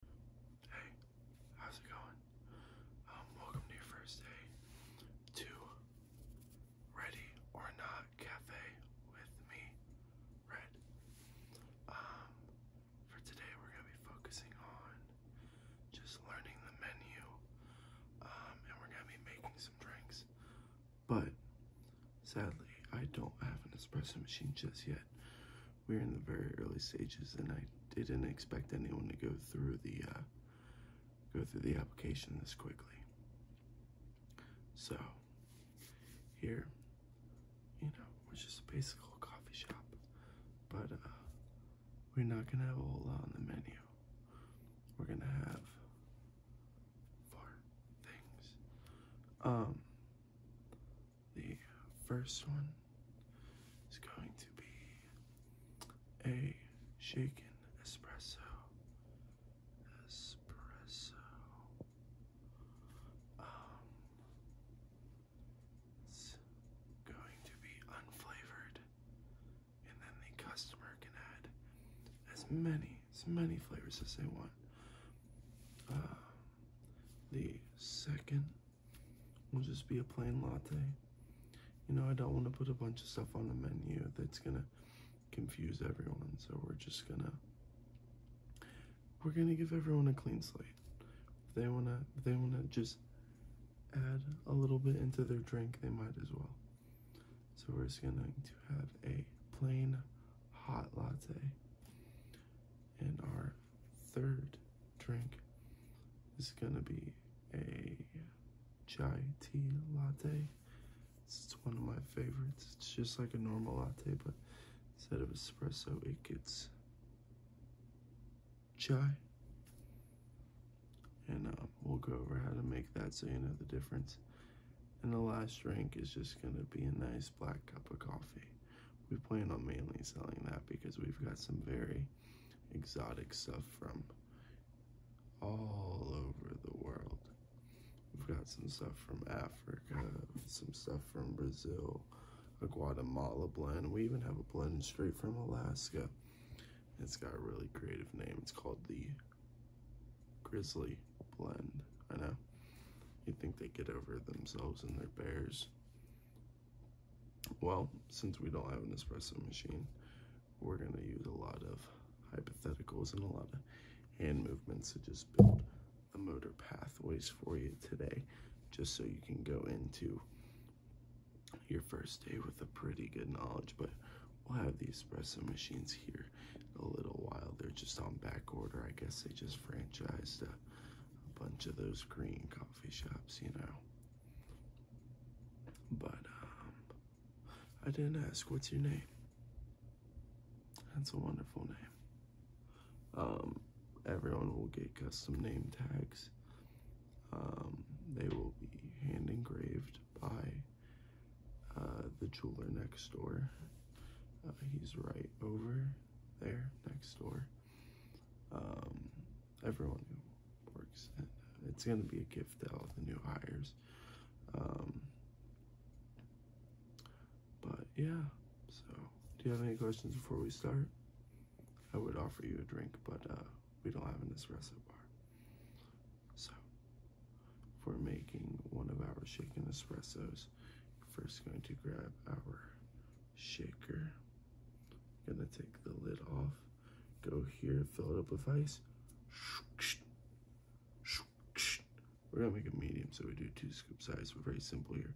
Hey, how's it going? Um, welcome to your first day to Ready or Not Cafe with me, Red. Um, for today we're gonna be focusing on just learning the menu, um, and we're gonna be making some drinks. But sadly, I don't have an espresso machine just yet we are in the very early stages, and I didn't expect anyone to go through the uh, go through the application this quickly. So here, you know, it's just a basic little coffee shop, but uh, we're not gonna have a whole lot on the menu. We're gonna have four things. Um, the first one is going to be a shaken espresso. Espresso. Um, it's going to be unflavored, and then the customer can add as many, as many flavors as they want. Uh, the second will just be a plain latte. You know, I don't want to put a bunch of stuff on the menu that's going to confuse everyone. So we're just going to we're going to give everyone a clean slate. they want to they want to just add a little bit into their drink, they might as well. So we're just going to to have a plain hot latte. And our third drink is going to be a chai tea latte. It's one of my favorites. It's just like a normal latte, but instead of espresso, it gets chai. And um, we'll go over how to make that so you know the difference. And the last drink is just going to be a nice black cup of coffee we plan on mainly selling that because we've got some very exotic stuff from all over the world. We've got some stuff from Africa, some stuff from Brazil, a Guatemala blend. We even have a blend straight from Alaska. It's got a really creative name. It's called the Grizzly blend. I know. you think they get over themselves and their bears. Well, since we don't have an espresso machine, we're going to use a lot of hypotheticals and a lot of hand movements to just build a motor pathways for you today, just so you can go into your first day with a pretty good knowledge. But we'll have the espresso machines here a little while. They're just on back order. I guess they just franchised a, a bunch of those green coffee shops, you know. But um, I didn't ask, what's your name? That's a wonderful name. Um, everyone will get custom name tags. Um, they will be hand engraved by uh, the jeweler next door. Uh, he's right over there next door. Um, everyone who works at, it's going to be a gift to all the new hires. Um, but yeah, so do you have any questions before we start? I would offer you a drink, but uh, we don't have an espresso bar. So for making one of our shaken espressos. First going to grab our shaker. Gonna take the lid off, go here, fill it up with ice. We're gonna make a medium, so we do two scoop size. We're very simple here.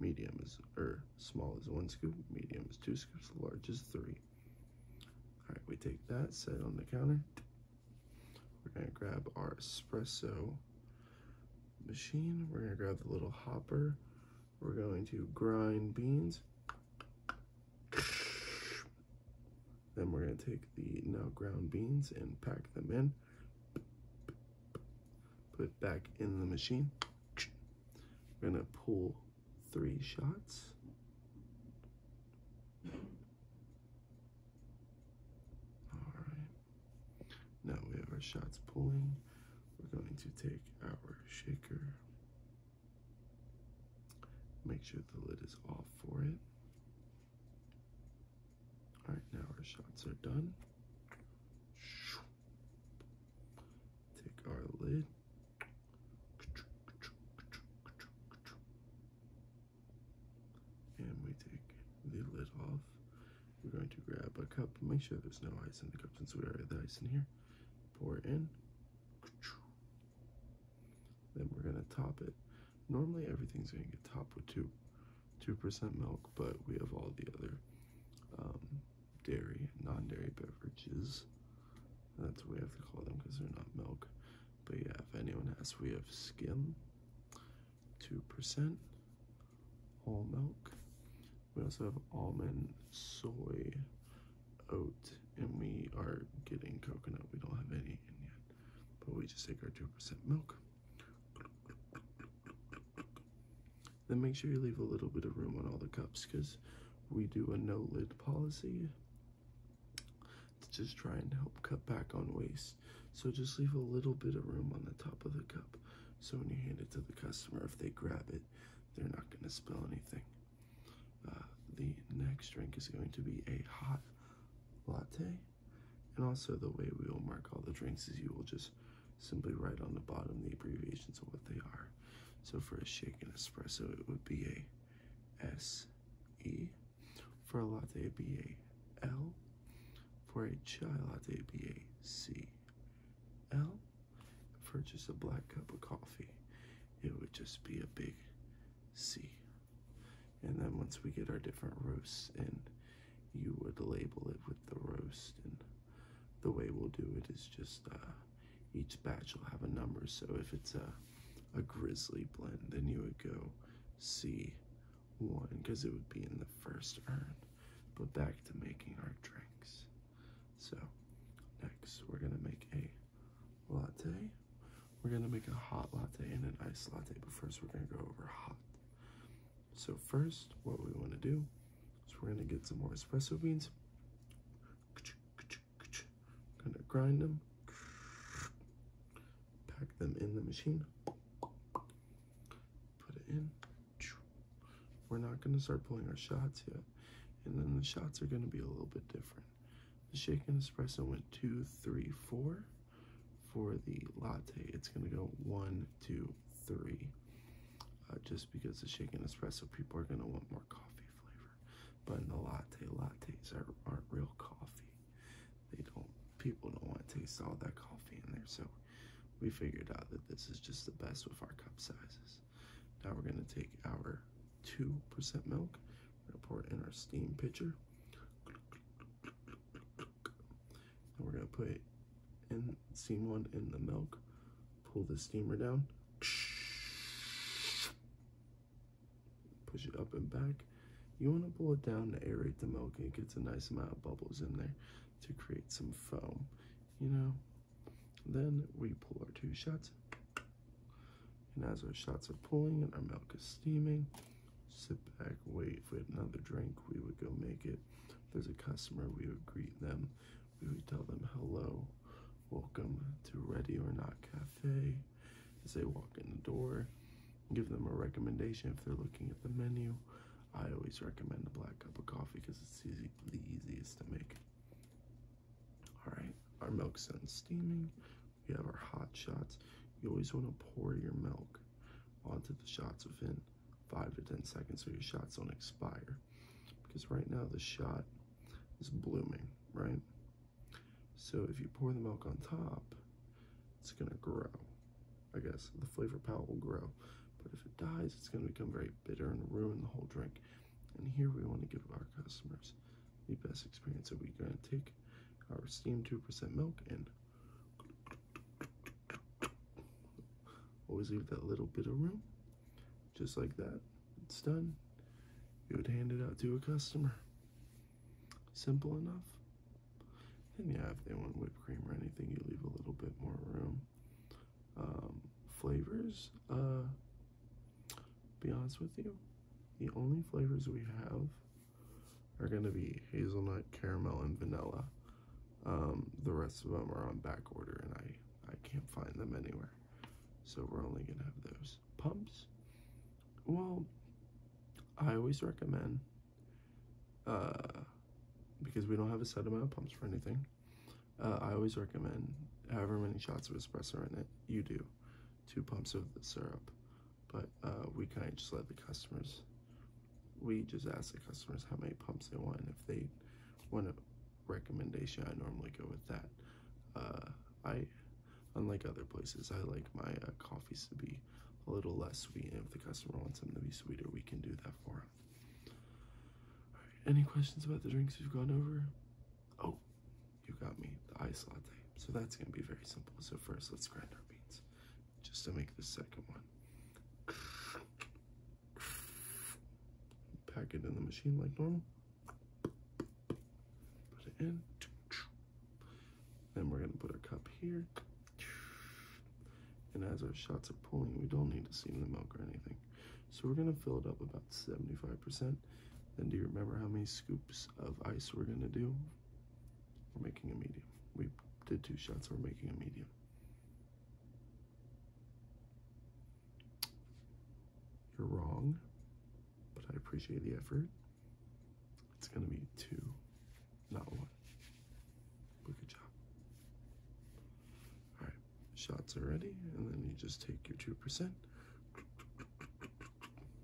Medium is, or small is one scoop, medium is two scoops, large is three. All right, we take that, set on the counter, we're gonna grab our espresso machine. We're gonna grab the little hopper. We're going to grind beans. Then we're gonna take the now ground beans and pack them in. Put it back in the machine. We're gonna pull three shots. All right. Now we have our shots pulling. We're going to take our shaker. Make sure the lid is off for it. All right, now our shots are done. Take our lid. And we take the lid off. We're going to grab a cup, make sure there's no ice in the cup since we already have the ice in here. Pour it in. Then we're gonna top it. Normally everything's gonna get topped with two, 2% milk, but we have all the other um, dairy, non-dairy beverages. That's what we have to call them because they're not milk. But yeah, if anyone asks, we have skim, 2%, whole milk. We also have almond, soy, oat, and we are getting coconut. We don't have any in yet, but we just take our 2% milk. Then make sure you leave a little bit of room on all the cups because we do a no lid policy it's just trying to help cut back on waste. So just leave a little bit of room on the top of the cup. So when you hand it to the customer, if they grab it, they're not going to spill anything. Uh, the next drink is going to be a hot latte. And also the way we will mark all the drinks is you will just simply write on the bottom the abbreviations of what they are. So for a shake and espresso, it would be a S E. For a latte, B A L. For a chai latte, B A C L. For just a black cup of coffee, it would just be a big C. And then once we get our different roasts in, you would label it with the roast. And the way we'll do it is just uh, each batch will have a number. So if it's a a grizzly blend, then you would go C1 because it would be in the first urn. But back to making our drinks. So next we're gonna make a latte. We're gonna make a hot latte and an iced latte, but first we're gonna go over hot. So first, what we wanna do is we're gonna get some more espresso beans. Gonna grind them, pack them in the machine, put it in. We're not gonna start pulling our shots yet. And then the shots are gonna be a little bit different. The shaken espresso went two, three, four. For the latte, it's gonna go one, two, three. Uh, just because the shaken espresso, people are gonna want more coffee flavor. But in the latte, lattes are, not real coffee. They don't, people don't want to taste all that coffee in there. So we figured out that this is just the best with our cup sizes. Now we're going to take our 2% milk, we're going to pour it in our steam pitcher. And we're going to put in steam one in the milk, pull the steamer down, push it up and back. You want to pull it down to aerate the milk it gets a nice amount of bubbles in there to create some foam, you know. Then we pull our two shots. And as our shots are pulling and our milk is steaming, sit back, wait. If we had another drink, we would go make it. there's a customer, we would greet them. We would tell them hello. Welcome to Ready or Not Cafe. As they walk in the door, give them a recommendation if they're looking at the menu. I always recommend a black cup of coffee because it's the easiest to make. All right, our milk's done steaming. We have our hot shots. You always want to pour your milk onto the shots within five to 10 seconds so your shots don't expire. Because right now the shot it's blooming, right? So if you pour the milk on top, it's gonna grow. I guess the flavor palette will grow. But if it dies, it's gonna become very bitter and ruin the whole drink. And here we wanna give our customers the best experience. So we're gonna take our steamed 2% milk and always leave that little bit of room, just like that it's done. You would hand it out to a customer. Simple enough. And yeah, if they want whipped cream or anything, you leave a little bit more room. Um, flavors, uh, be honest with you, the only flavors we have are going to be hazelnut, caramel, and vanilla. Um, the rest of them are on back order, and I, I can't find them anywhere. So we're only going to have those. Pumps? Well, I always recommend, uh, because we don't have a set amount of pumps for anything, uh, I always recommend however many shots of espresso in it you do, two pumps of the syrup. But uh, we kind of just let the customers, we just ask the customers how many pumps they want. And if they want to recommendation. I normally go with that. Uh, I, unlike other places, I like my uh, coffees to be a little less sweet. And if the customer wants them to be sweeter, we can do that for them. any questions about the drinks we've gone over? Oh, you got me the ice latte. So that's going to be very simple. So first, let's grind our beans just to make the second one. Pack it in the machine like normal. Put it in. Then we're gonna put our cup here. And as our shots are pulling, we don't need to see the milk or anything. So we're gonna fill it up about 75%. Then do you remember how many scoops of ice we're gonna do? We're making a medium. We did two shots, we're making a medium. You're wrong, but I appreciate the effort. It's gonna be two, not one. good job. All right, shots are ready, and then you just take your two percent.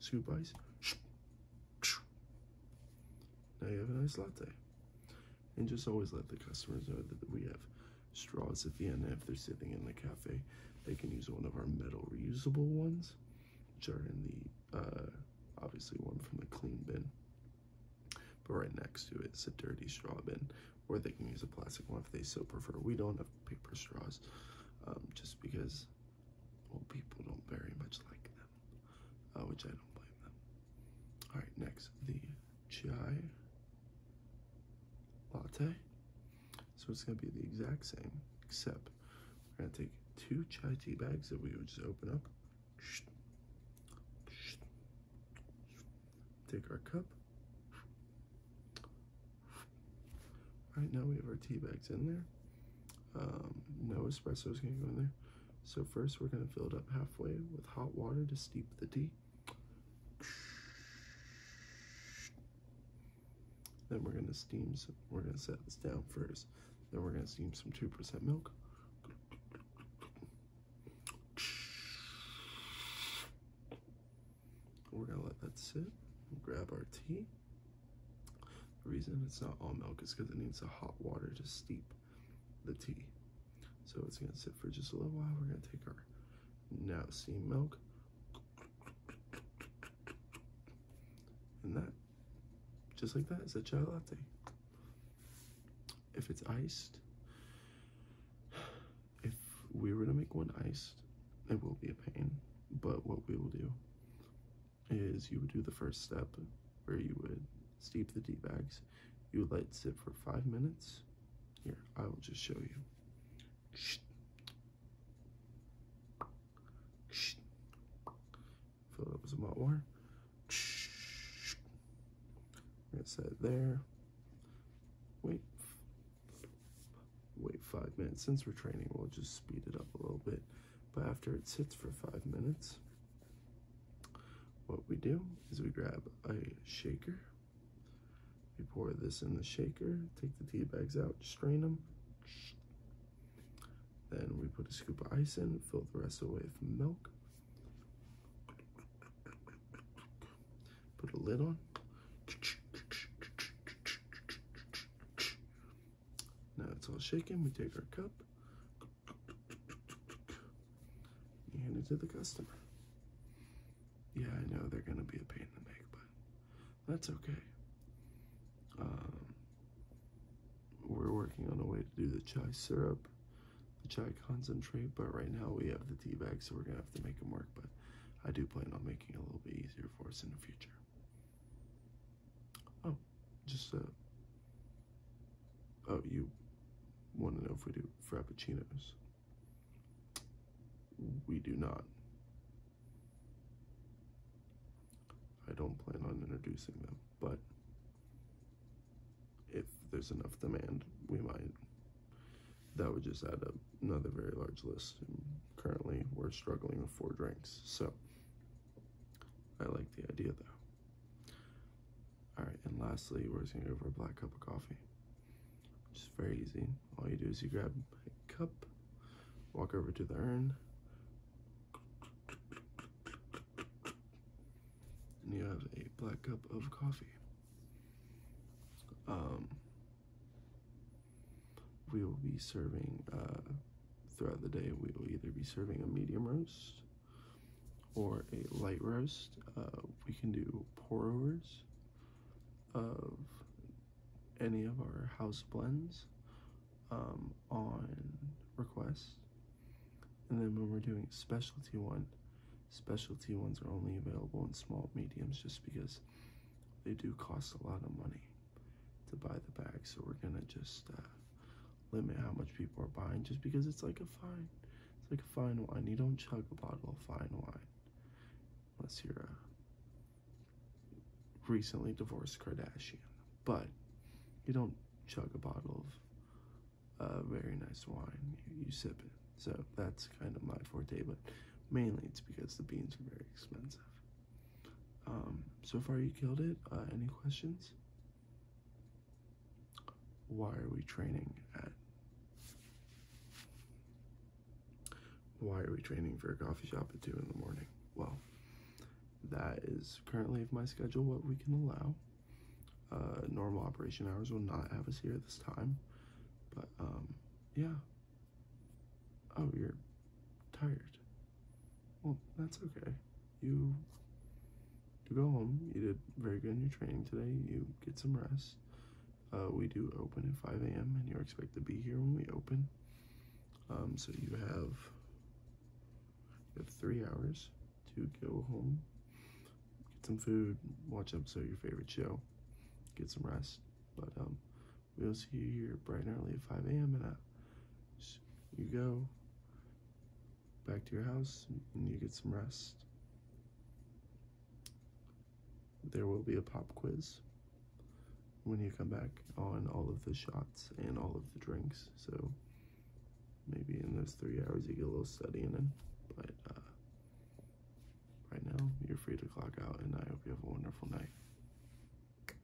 Scoop ice. Now you have a nice latte and just always let the customers know that we have straws at the end. If they're sitting in the cafe, they can use one of our metal reusable ones, which are in the, uh, obviously one from the clean bin. But right next to it is a dirty straw bin, where they can use a plastic one if they so prefer. We don't have paper straws, um, just because old people don't very much like them, uh, which I don't blame them. All right, next, the chai latte. So it's gonna be the exact same, except we're gonna take two chai tea bags that we would just open up. Take our cup. All right, now we have our tea bags in there. Um, no espresso is gonna go in there. So first we're gonna fill it up halfway with hot water to steep the tea. Then we're gonna steam some, we're gonna set this down first. Then we're gonna steam some 2% milk. We're gonna let that sit, grab our tea. The reason it's not all milk is because it needs the hot water to steep the tea. So it's gonna sit for just a little while. We're gonna take our now steam milk and that, just like that, is a chai latte. If it's iced, if we were to make one iced, it will be a pain. But what we will do is you would do the first step where you would steep the tea bags you let light zip for five minutes. Here, I will just show you. Fill it up some more. Shh. We're there. Wait, wait five minutes. Since we're training, we'll just speed it up a little bit. But after it sits for five minutes, what we do is we grab a shaker, we pour this in the shaker, take the tea bags out, strain them, then we put a scoop of ice in, fill the rest away with milk, put a lid on. Now it's all shaken, we take our cup, you hand it to the customer. Yeah, I know they're gonna be a pain in the neck, but that's okay. Um, we're working on a way to do the chai syrup, the chai concentrate, but right now we have the tea bag, so we're gonna have to make them work. But I do plan on making it a little bit easier for us in the future. Oh, just uh, oh, you want to know if we do frappuccinos? We do not. I don't plan on introducing them, but if there's enough demand, we might. That would just add up another very large list. currently, we're struggling with four drinks, so I like the idea though. All right, and lastly, we're just gonna go for a black cup of coffee. Just very easy. All you do is you grab a cup, walk over to the urn, and you have a black cup of coffee. Um, we will be serving uh, throughout the day. We will either be serving a medium roast or a light roast. Uh, we can do pour overs of any of our house blends um, on request. And then when we're doing specialty one, specialty ones are only available in small mediums just because they do cost a lot of money to buy the bag. So we're gonna just uh, limit how much people are buying just because it's like a fine it's like a fine wine you don't chug a bottle of fine wine unless you're a recently divorced kardashian but you don't chug a bottle of uh, very nice wine you, sip it so that's kind of my forte but mainly it's because the beans are very expensive um, so far you killed it uh, any questions why are we training at? Why are we training for a coffee shop at 2 in the morning? Well, that is currently of my schedule what we can allow. Uh, normal operation hours will not have us here this time. But, um, yeah. Oh, you're tired. Well, that's okay. You, to go home. You did very good in your training today. You get some rest. Uh, we do open at 5 a.m. and you're expected to be here when we open. Um, so you have, have three hours to go home, get some food, watch episode of your favorite show, get some rest. But um, we'll see you here bright and early 5 a.m. and at you go back to your house and you get some rest. There will be a pop quiz when you come back on all of the shots and all of the drinks. So maybe in those three hours you get a little studying in. But uh, right now, you're free to clock out, and I hope you have a wonderful night.